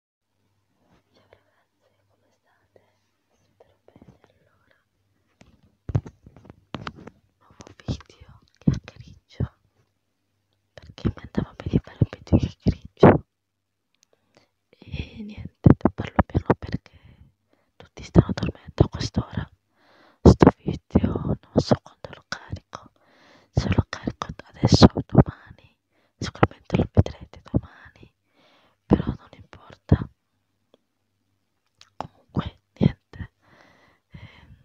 Ciao ragazze, come state? Spero bene allora. Nuovo video chiacchiericcio perché mi andava bene fare un video chiacchiericcio e niente, parlo piano perché tutti stanno dormendo a quest'ora. Sto video non so quando lo carico, se lo carico adesso o domani sicuramente lo vedrete domani però non importa comunque niente ehm,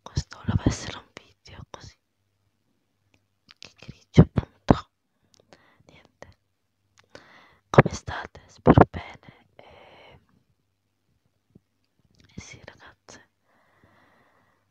questo doveva essere un video così che grigio appunto niente come state spero bene e, ehm, e sì ragazze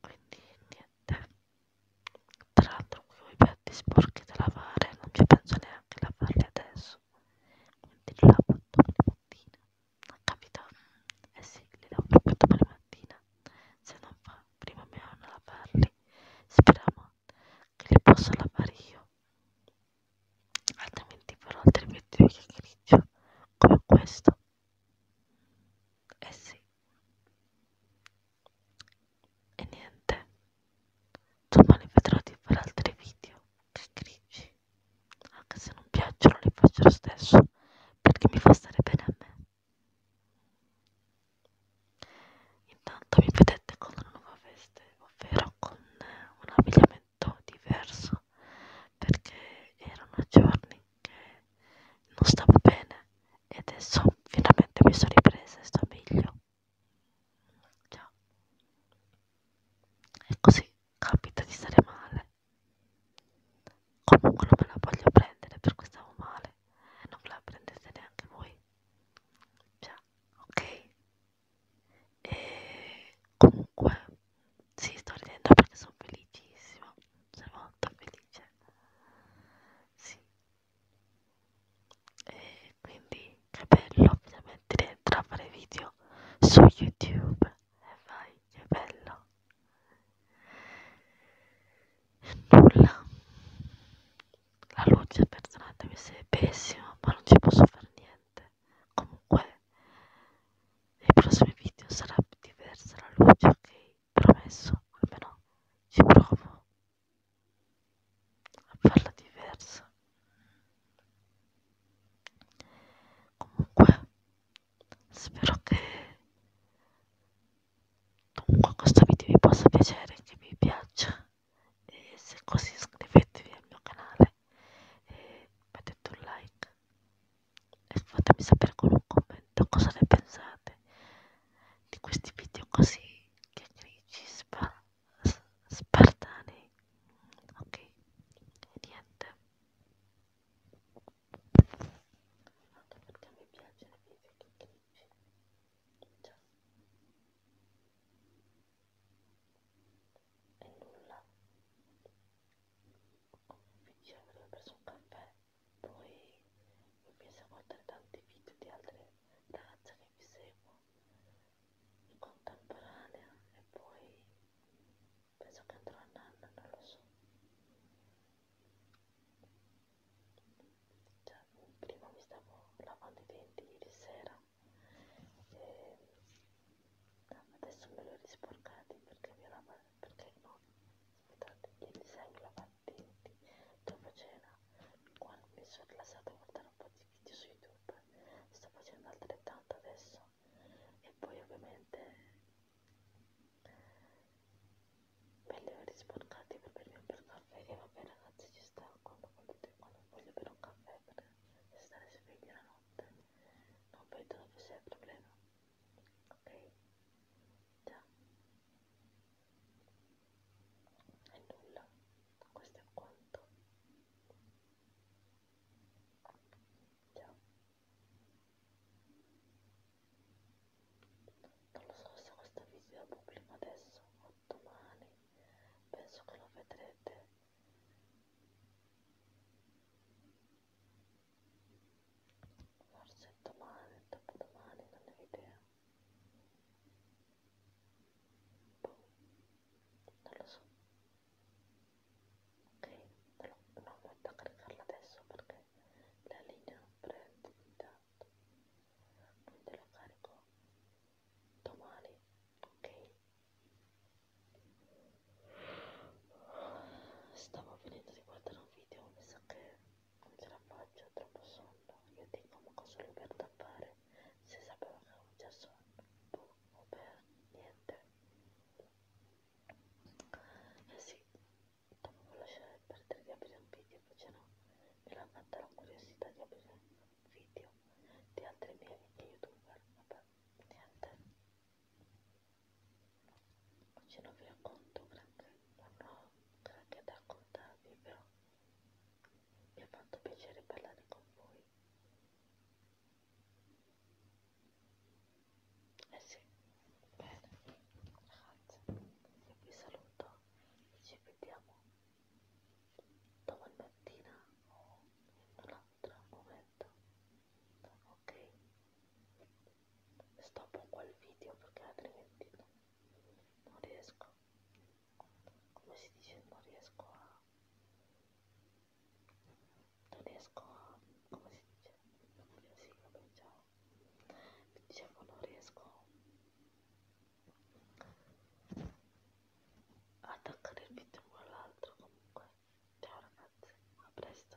quindi niente tra l'altro con i piatti sporchi da lavare non ci penso neanche a lavarli adesso quindi li lavo dopo la mattina non capita eh sì li lavo proprio dopo la mattina se non fa prima mia nonna lavarli speriamo che li possa lavare io altrimenti farò altri video che grigio come questo eh sì. E niente. Domani vedrò di fare altri video che grigi. Anche se non piacciono li faccio lo stesso. Perché mi fa stare bene a me. Intanto mi vedete con una nuova veste, ovvero con un abbigliamento diverso perché erano giorni non stavo bene e adesso finalmente mi sono ripresa e sto meglio Ciao. e così capita di stare male comunque non me la voglio prendere perché stavo male e eh, non me la prendete neanche voi cioè, ok e comunque sì sto ridendo perché sono felicissima sono molto felice sì e quindi che bello finalmente dentro a fare video su youtube e vai che bello e nulla la luce perdonatemi se è pessima ma non ci posso fare niente comunque nei prossimi video sarà diversa la luce ok promesso, almeno ci provo a farla diversa. Comunque, spero che comunque questo video vi possa piacere, che vi piaccia e se così iscrivetevi al mio canale e mettete un like e eh, fatemi sapere con un commento cosa ne pensate di questi video così chiacchierici spa, spartani ok e niente anche perché mi piace le video chiacchierici ciao e nulla come vi dicevo, ho preso un caffè poi empiezo a guardare tanti video di altre ragazze che vi seguo in contemporanea e poi penso che andrò a nanna, non lo so cioè, prima mi stavo lavando i denti ieri sera e adesso me li ho risporcati perché, mi lava, perché no, ospitato ieri sera lavandini dopo cena quando mi sono rilassata a guardare un po' di video su youtube sto facendo altrettanto adesso e poi ovviamente per le ore sporcate per bermi un bel caffè e vabbè ragazzi ci sta quando, quando voglio bere un caffè per stare sveglia la notte non vedo dove sia il problema ok già e nulla questo è quanto già non lo so se questo video lo pubblico adesso o domani penso che lo vedrete forse domani, dopodomani, non ne ho idea boh, non lo so ok, però non metto a caricarla adesso perché la linea prende intanto quindi la carico domani ok stavo finendo di guardare un video mi sa che non ce la faccio ho troppo sonno io dico ma cosa lui per tappare se sapeva che avevo già sonno boh, per niente eh sì dovevo lasciare perdere di aprire un video invece no mi l'ha fatta la curiosità di aprire un video di altri miei amici youtuber vabbè niente Oggi non vi racconto granché, non ho granché da raccontarvi, però mi ha fatto piacere parlare con voi. Eh sì, bene, ragazzi, io vi saluto e ci vediamo domani mattina o in un altro momento, ok? stoppo qua il video perché altrimenti no, non riesco come si dice non riesco a non riesco a come si dice sì, vabbè, ciao. dicevo non riesco a attaccare il video con l'altro comunque ciao ragazzi a presto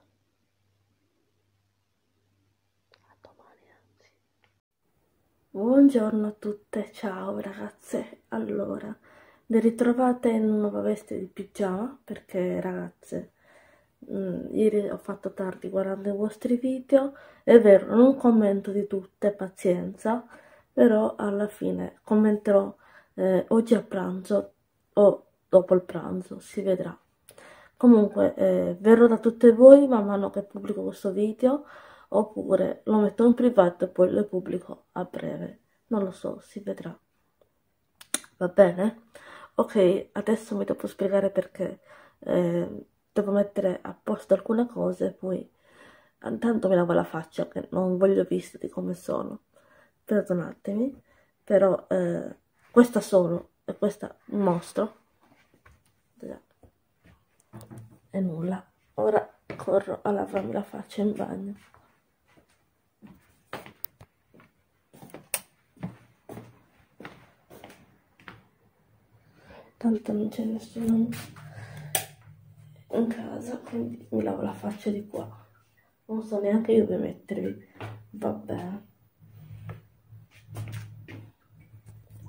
a domani, anzi. Buongiorno a tutte, ciao ragazze. Allora, le ritrovate in una nuova veste di pigiama perché ragazze mh, mm, ieri ho fatto tardi guardando i vostri video è vero non commento di tutte pazienza però alla fine commenterò eh, oggi a pranzo o dopo il pranzo, si vedrà. Comunque eh, verrò da tutte voi man mano che pubblico questo video oppure lo metto in privato e poi lo pubblico a breve. Non lo so, si vedrà. Va bene? Ok, adesso mi devo spiegare perché eh, devo mettere a posto alcune cose poi intanto mi lavo la faccia che non voglio visti come sono. Perdonatemi, però eh, questa sono e questa un mostro e nulla ora corro a lavarmi la faccia in bagno tanto non c'è nessuno in casa quindi mi lavo la faccia di qua non so neanche io come metterli. Vabbè.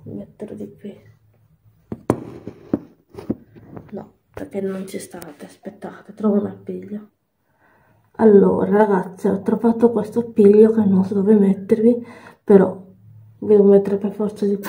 Metterlo di qui. No, perché non ci state. Aspettate, trovo un appiglio. Allora, ragazzi, ho trovato questo appiglio che non so dove mettervi, però vi devo mettere per forza di più.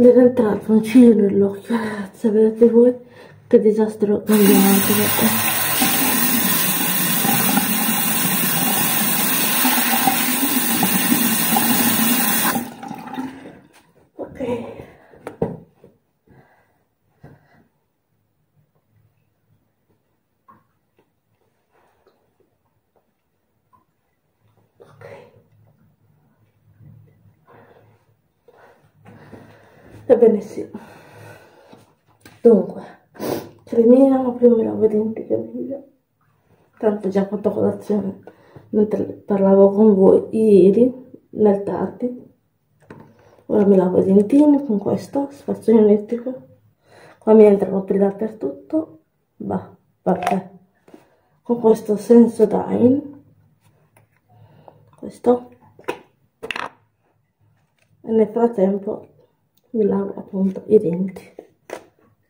Mi era entrato un ciglio nell'occhio, ragazzi, vedete voi che disastro cambiato ok Ebbene sì. Dunque, cremina, prima lavo i denti che tanto già fatto colazione mentre parlavo con voi ieri nel tardi ora mi lavo i dentini con questo spazio elettrico qua mi entrano più dappertutto bah, vabbè con questo senso dine questo e nel frattempo mi lavo appunto i denti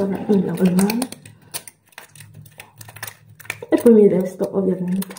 ora mi lavo le mani e poi mi resto ovviamente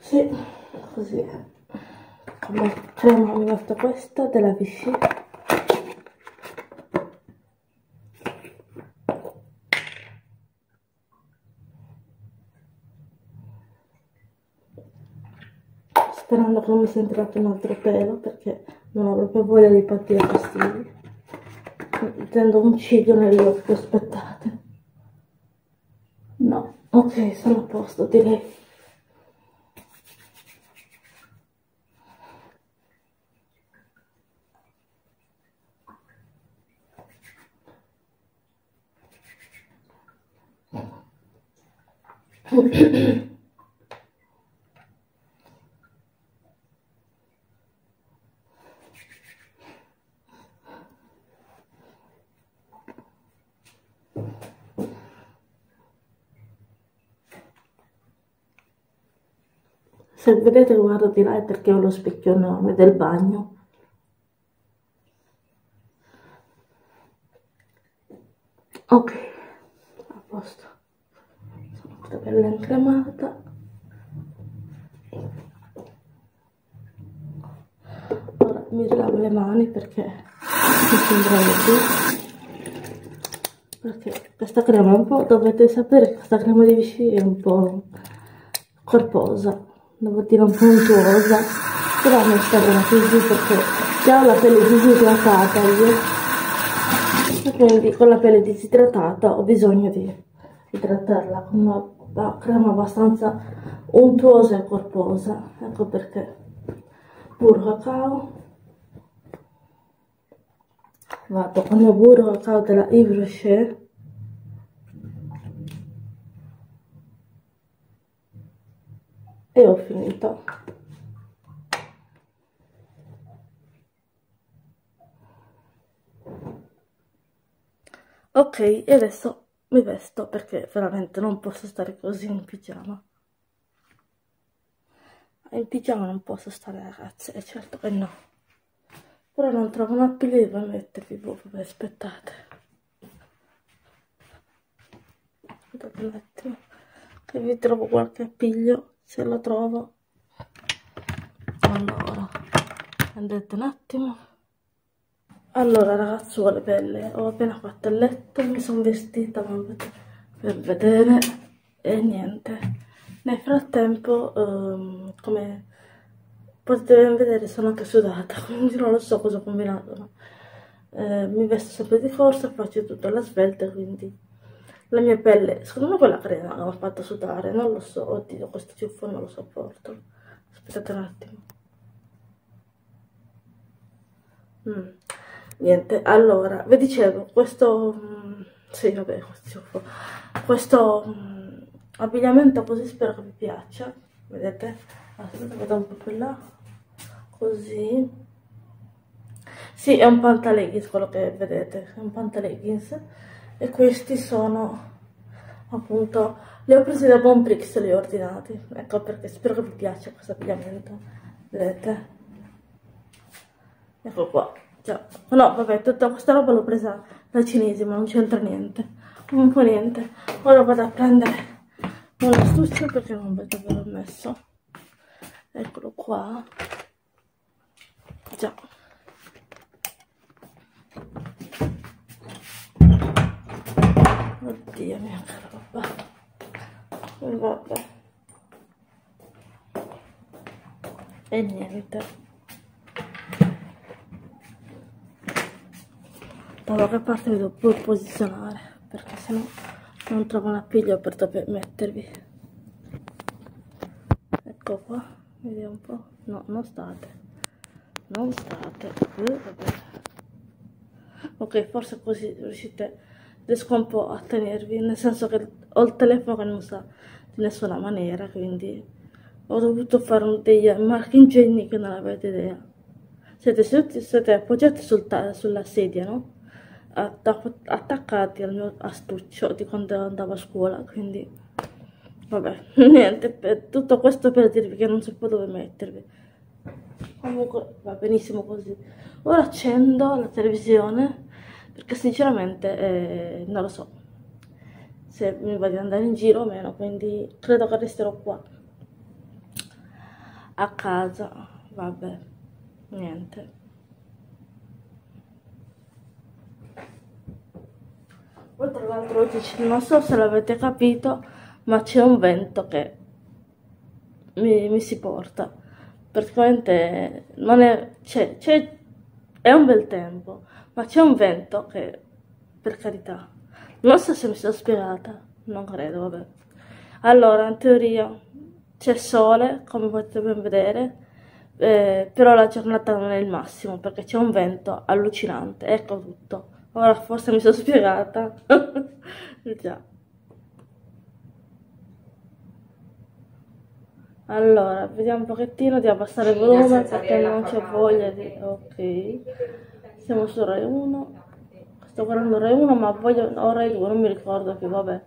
Sì, così è. Mettiamo una volta questa della piscina. sperando che non mi sia entrato un altro pelo perché non ho proprio voglia di partire fastidio tendo un ciglio nell'occhio, aspettate. No, ok, sono a posto, direi. Se vedete lo guardo di là è perché ho lo specchio enorme del bagno. Ok, a posto. Sono tutta bella incremata. Ora mi rilavo le mani perché mi sembra oggi. Perché questa crema è un po', dovete sapere che questa crema di Vichy è un po' corposa, devo dire un po' untuosa, però mi sta bene così perché già ho la pelle disidratata io. E quindi con la pelle disidratata ho bisogno di di trattarla con una crema abbastanza untuosa e corposa, ecco perché burro cacao, vado con il burro cacao della Yves Rocher, e ho finito ok e adesso mi vesto perché veramente non posso stare così in pigiama ah, in pigiama non posso stare ragazze e eh, certo che no però non trovo una pila devo mettervi voi aspettate aspettate un attimo che vi trovo qualche appiglio se lo trovo allora andate un attimo allora ragazzuole belle ho appena fatto il letto mi sono vestita per vedere e niente nel frattempo um, come potete vedere sono anche sudata quindi non lo so cosa ho combinato eh, mi vesto sempre di forza faccio tutto alla svelta quindi la mia pelle secondo me quella crema che mi ha fatto sudare non lo so oddio questo più forma lo sopporto. Aspettate un attimo. Mm. Niente, allora, vi dicevo, questo... Mm, sì, vabbè, questo... questo mm, abbigliamento così spero che vi piaccia. Vedete? Aspetta, vado un po' più là. Così. Sì, è un pantaleggings quello che vedete, è un pantaleggings e questi sono appunto li ho presi da Bonprix e li ho ordinati ecco perché spero che vi piaccia questo abbigliamento vedete ecco qua cioè, no vabbè tutta questa roba l'ho presa da cinesi ma non c'entra niente un po' niente ora vado a prendere un astuccio perché non vedo dove l'ho messo eccolo qua Già. Oddio mia roba. Vabbè. E niente. Da qualche parte mi devo pure posizionare, perché sennò non trovo un appiglio per mettervi ecco qua vediamo un po' no non state non state eh, ok forse così riuscite riesco un po' a tenervi nel senso che ho il telefono che non sta di nessuna maniera quindi ho dovuto fare degli marchingegni che non avete idea siete, seduti, siete appoggiati sul sulla sedia no? attaccati al mio astuccio di quando andavo a scuola quindi vabbè niente tutto questo per dirvi che non so poi dove mettervi comunque va benissimo così ora accendo la televisione perché sinceramente eh, non lo so se mi va di andare in giro o meno quindi credo che resterò qua a casa vabbè niente poi tra l'altro oggi non so se l'avete capito, ma c'è un vento che mi, mi, si porta. Praticamente non è, c'è, c'è, è un bel tempo, ma c'è un vento che, per carità, non so se mi sono spiegata, non credo, vabbè. Allora, in teoria c'è sole, come potete ben vedere, eh, però la giornata non è il massimo perché c'è un vento allucinante, ecco tutto. Ora forse mi sono spiegata. Già. Allora, vediamo un pochettino di abbassare il volume perché non c'è voglia di... Ok, siamo su Rai 1. Sto guardando Rai 1 ma voglio... o Rai 2, non mi ricordo più, vabbè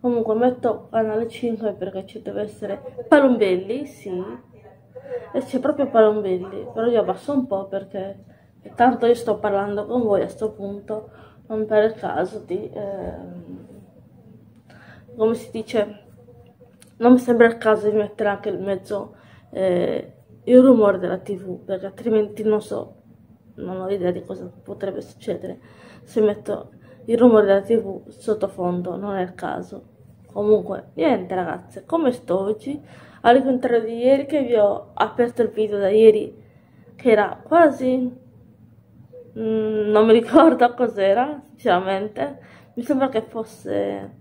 comunque metto canale 5 perché ci deve essere Palombelli, sì e c'è proprio Palombelli però io abbasso un po' perché tanto io sto parlando con voi a questo punto non per il caso di ehm, come si dice non mi sembra il caso di mettere anche in mezzo eh, il rumore della tv perché altrimenti non so non ho idea di cosa potrebbe succedere perché se metto il rumore della tv sottofondo non è il caso. Comunque, niente ragazze, come sto oggi? Al contrario di ieri che vi ho aperto il video da ieri, che era quasi... Mm, non mi ricordo cos'era, sinceramente. Mi sembra che fosse...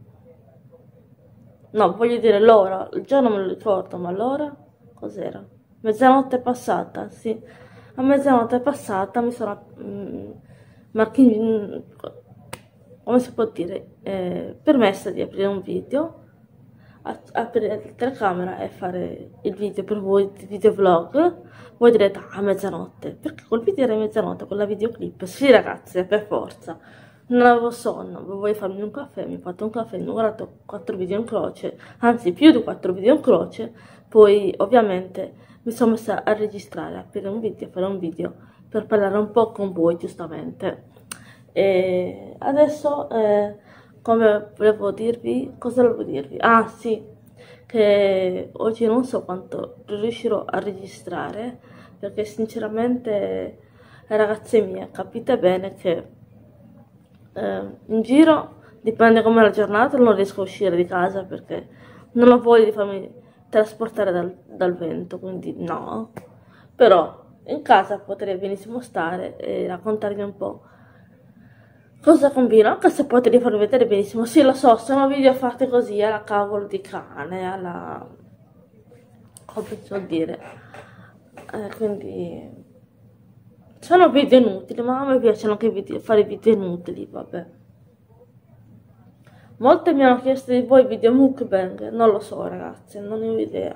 No, voglio dire l'ora, il giorno me lo ricordo, ma l'ora cos'era? Mezzanotte passata, sì. A mezzanotte passata mi sono... Mm, ma mm, che come si può dire eh, permessa di aprire un video aprire la telecamera e fare il video per voi il videovlog voi direte a ah, mezzanotte perché col video era mezzanotte con la videoclip sì ragazze per forza non avevo sonno, volevo farmi un caffè, mi ho fatto un caffè, mi ho guardato 4 video in croce, anzi più di 4 video in croce poi ovviamente mi sono messa a registrare, a aprire un video, a fare un video per parlare un po' con voi giustamente. E adesso, eh, come volevo dirvi, cosa volevo dirvi? Ah sì, che oggi non so quanto riuscirò a registrare perché sinceramente ragazzi mie capite bene che eh, in giro dipende come la giornata, non riesco a uscire di casa perché non ho voglia di farmi trasportare dal, dal vento, quindi no. Però in casa potrei benissimo stare e raccontarvi un po' cosa combino, anche se potrei farvi vedere benissimo. Sì, lo so, sono video fatti così alla cavolo di cane, alla... come si vuol dire? Eh, quindi... Sono video inutili, ma a me piacciono anche video, fare video inutili, vabbè. Molte mi hanno chiesto di voi video mukbang, non lo so ragazzi, non ne ho idea.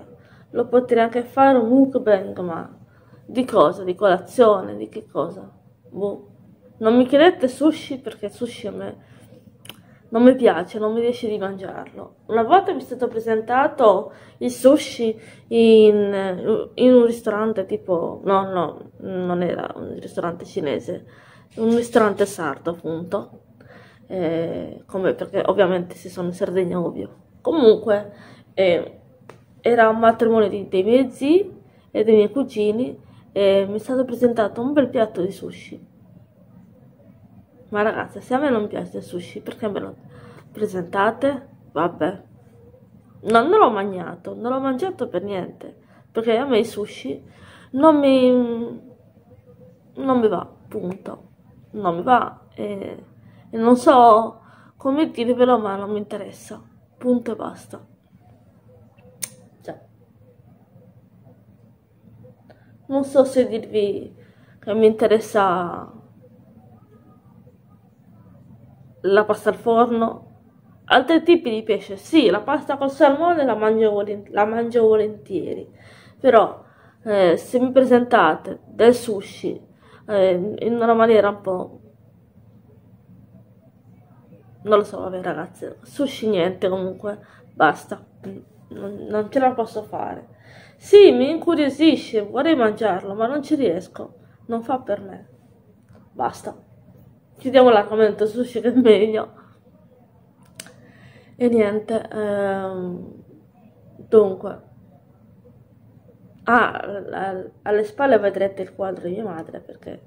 Lo potrei anche fare un mukbang, ma di cosa? Di colazione? Di che cosa? Boh. Non mi chiedete sushi perché sushi a me non mi piace, non mi riesce di mangiarlo. Una volta mi è stato presentato il sushi in, in un ristorante tipo, no, no, non era un ristorante cinese, un ristorante sardo appunto, eh, come perché ovviamente si sono in Sardegna ovvio. Comunque eh, era un matrimonio di, dei miei zii e dei miei cugini e mi è stato presentato un bel piatto di sushi. Ma ragazzi, se a me non piace il sushi, perché me lo presentate? Vabbè. No, non l'ho mangiato, non l'ho mangiato per niente bene, perché a me il sushi non mi, non mi va, punto, non mi va e, e non so come dire però ma non mi interessa, punto e basta. Cioè, non so se dirvi che mi interessa la pasta al forno, altri tipi di pesce. Sì, la pasta col salmone la mangio, volent la mangio volentieri, però eh, se mi presentate del sushi eh, in una maniera un po'... Non lo so, vabbè ragazzi, sushi niente comunque, basta, non, non ce la posso fare. Sì, mi incuriosisce, vorrei mangiarlo, ma non ci riesco, non fa per me. Basta chiudiamo la commento sushi che è meglio e niente ehm, dunque ah, alle spalle vedrete il quadro di mia madre perché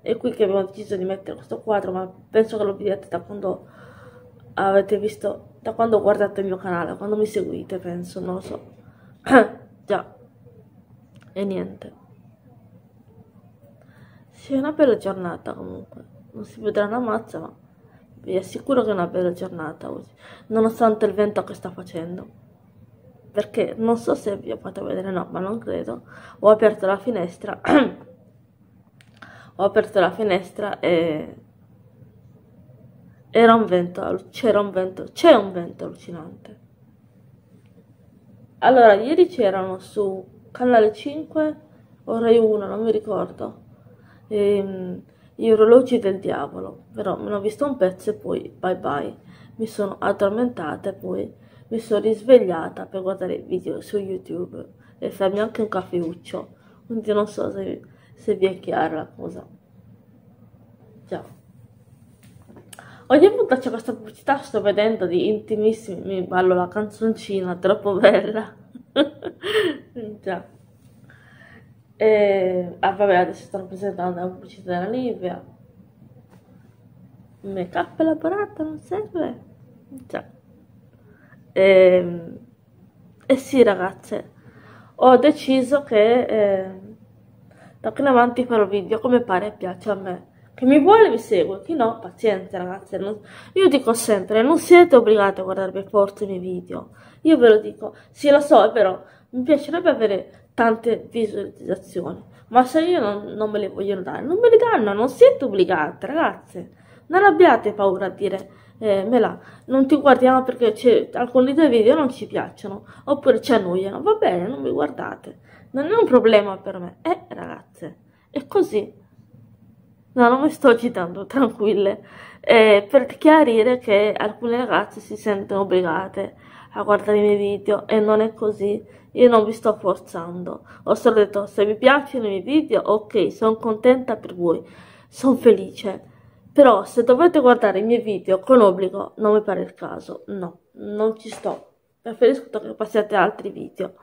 è qui che abbiamo deciso di mettere questo quadro ma penso che lo vediate da quando avete visto da quando guardate il mio canale quando mi seguite penso non lo so già e niente. Sì, è una bella giornata comunque. Non si vedrà una mazza, ma vi assicuro che è una bella giornata oggi. Nonostante il vento che sta facendo. Perché non so se vi ho fatto vedere, no, ma non credo. Ho aperto la finestra. ho aperto la finestra e era un vento, c'era un vento, c'è un vento allucinante. Allora, ieri c'erano su Canale 5 o Rai 1, non mi ricordo, ehm, gli orologi del diavolo, però me ne ho visto un pezzo e poi bye bye, mi sono addormentata e poi mi sono risvegliata per guardare video su YouTube e farmi anche un caffeuccio, quindi non so se, se vi è chiara la cosa. Già. Ogni volta c'è questa pubblicità, sto vedendo di intimissimi, mi ballo la canzoncina, troppo bella. Già. E, ah vabbè, adesso stanno presentando la pubblicità della Livia. Make up elaborata non serve. Già. E, ehm, eh sì ragazze, ho deciso che... Eh, da qui in avanti farò video come pare e piace a me. Chi mi vuole vi segue, chi no, pazienza ragazze. Non... Io dico sempre, non siete obbligati a guardarvi forza i miei video. Io ve lo dico, sì lo so, è vero, mi piacerebbe avere tante visualizzazioni. Ma se io non, non me le vogliono dare, non me le danno, non siete obbligate ragazze. Non abbiate paura a dire eh, Mela, non ti guardiamo perché alcuni dei video non ci piacciono oppure ci annoiano, va bene, non mi guardate, non è un problema per me. Eh, ragazze, è così. No, non mi sto agitando, tranquille. Eh, per chiarire che alcune ragazze si sentono obbligate a guardare i miei video e non è così. Io non vi sto forzando. Ho solo detto, se vi piacciono i miei video, ok, sono contenta per voi, sono felice. Però se dovete guardare i miei video con obbligo, non mi pare il caso, no non ci sto. Preferisco che passiate altri video,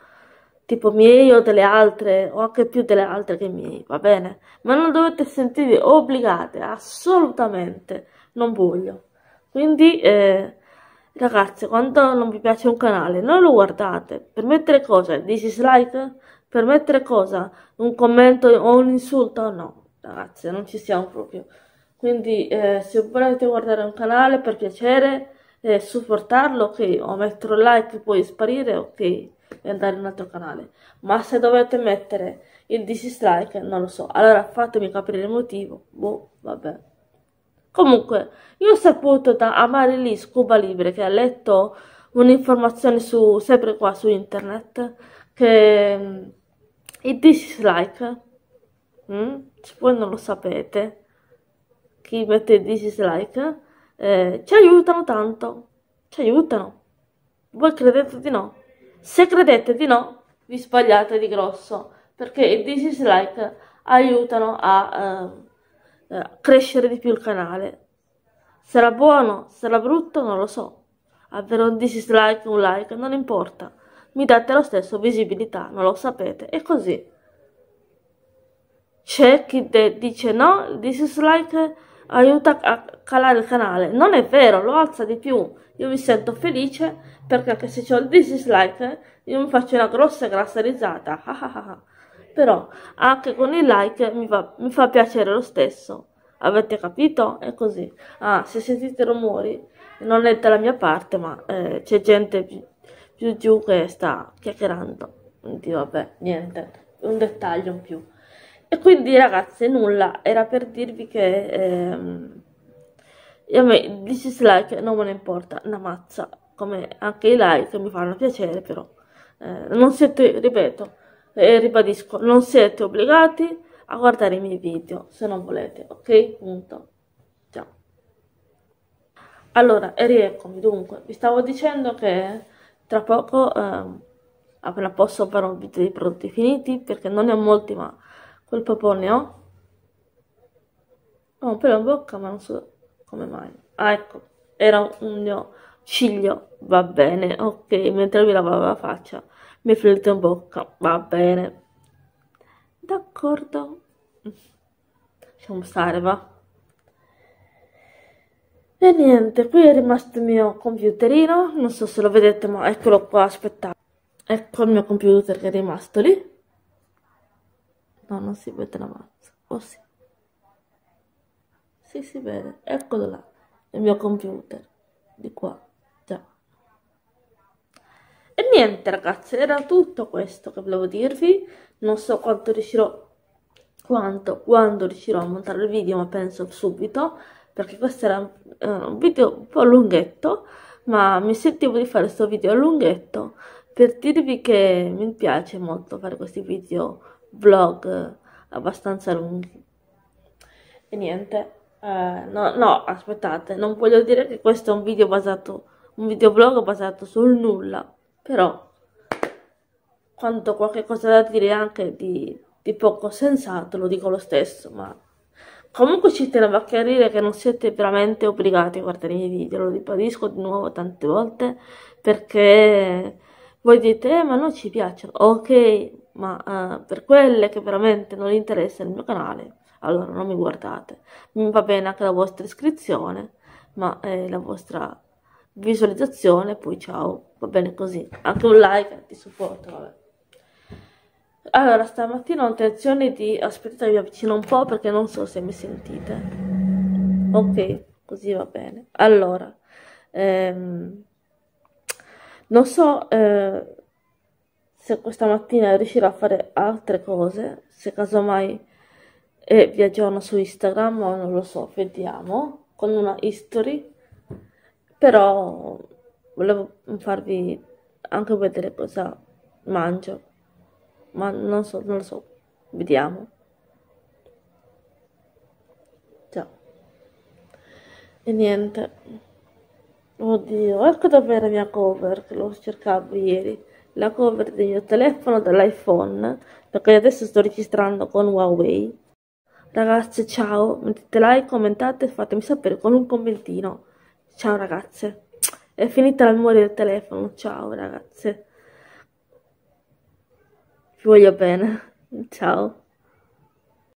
tipo miei o delle altre, o anche più delle altre che miei, va bene? Ma non dovete sentirvi obbligate, assolutamente, non voglio. Quindi, eh, ragazzi, quando non vi piace un canale, non lo guardate. Per mettere cosa? Dislike? Per mettere cosa? Un commento o un insulto? No, ragazze non ci siamo proprio quindi eh, se volete guardare un canale per piacere eh, supportarlo ok o mettere un like e poi sparire ok e andare in un altro canale ma se dovete mettere il dislike non lo so allora fatemi capire il motivo boh vabbè comunque io ho saputo da Amarili Scuba Libre che ha letto un'informazione su sempre qua su internet che mm, il dislike Mm? Se voi non lo sapete, chi mette dislike, eh, ci aiutano tanto. Ci aiutano. Voi credete di no? Se credete di no, vi sbagliate di grosso, perché i dislike aiutano a eh, eh crescere di più il canale. Sarà buono, sarà brutto, non lo so. Avverò ah, dislike, un like, non importa. Mi date lo stesso visibilità, non lo sapete. E così. C'è chi dice no, il dislike aiuta a calare il canale. Non è vero, lo alza di più. Io mi sento felice perché anche se ho il dislike io mi faccio una grossa grassa risata. Però anche con il like mi, va, mi fa piacere lo stesso senso. Avete capito? È così. Ah, se sentite rumori, non è dalla mia parte, ma eh, c'è gente più, più, giù che sta chiacchierando. Quindi vabbè, niente, un dettaglio in più. E quindi ragazze, nulla, era per dirvi che... Ehm, e a me il dislike non me ne importa una mazza, come anche i like mi fanno piacere però. Eh, non siete, ripeto, e eh, ribadisco, non siete obbligati a guardare i miei video farlo se non volete, ok? Punto. Ciao. Allora, e rieccomi. Dunque, vi stavo dicendo che tra poco eh, appena ah, posso farò un video dei prodotti finiti perché non ne ho molti, ma quel po' ne ho. Ho oh, un pelo in bocca, ma non so come mai. Ah, ecco, era un mio ciglio, va bene, ok, mentre mi lavavo la faccia mi flirta in bocca, va bene. D'accordo. Lasciamo stare, va. E niente, qui è rimasto il mio computerino, non so se lo vedete, ma eccolo qua, aspettate. Ecco il mio computer che è rimasto lì. No, non si vede la mazza. Oh sì. Sì, si vede. Eccolo là. Il mio computer. Di qua. Già. E niente ragazzi, era tutto questo che volevo dirvi. Non so quanto riuscirò, quanto, quando riuscirò a montare il video, ma penso subito, perché questo era eh, un video un po' lunghetto, ma mi sentivo di fare questo video lunghetto per dirvi che mi piace molto fare questi video vlog abbastanza lunghi. E niente, eh, no, no, aspettate, non voglio dire che questo è un video basato, un videoblog basato sul nulla, però quando qualche cosa da dire anche di, di poco sensato lo dico lo stesso, ma comunque ci tenevo a chiarire che non siete veramente obbligati a guardare i miei video, lo ribadisco di nuovo tante volte perché voi dite eh, ma non ci piacciono, ok, ma uh, per quelle che veramente non interessa il mio canale, allora non mi guardate. Mi va bene anche la vostra iscrizione, ma eh, la vostra visualizzazione, poi ciao, va bene così. Anche un like di eh, supporto, vabbè. Allora, stamattina ho intenzione di... aspettate, vi avvicino un po' perché non so se mi sentite. Ok, così va bene. Allora, ehm, non so... Eh, se questa mattina riuscirò a fare altre cose, se casomai eh, vi aggiorno su Instagram o non lo so, vediamo, con una history, però volevo farvi anche vedere cosa mangio, ma non so, non lo so, vediamo. Ciao. E niente. Oddio, ecco dov'è la mia cover, che lo cercavo ieri. La cover del mio telefono dall'iPhone, perché adesso sto registrando con Huawei. Ragazze, ciao, mettete like, commentate e fatemi sapere con un commentino. Ciao ragazze. È finita la memoria del telefono, ciao ragazze. Vi voglio bene, ciao.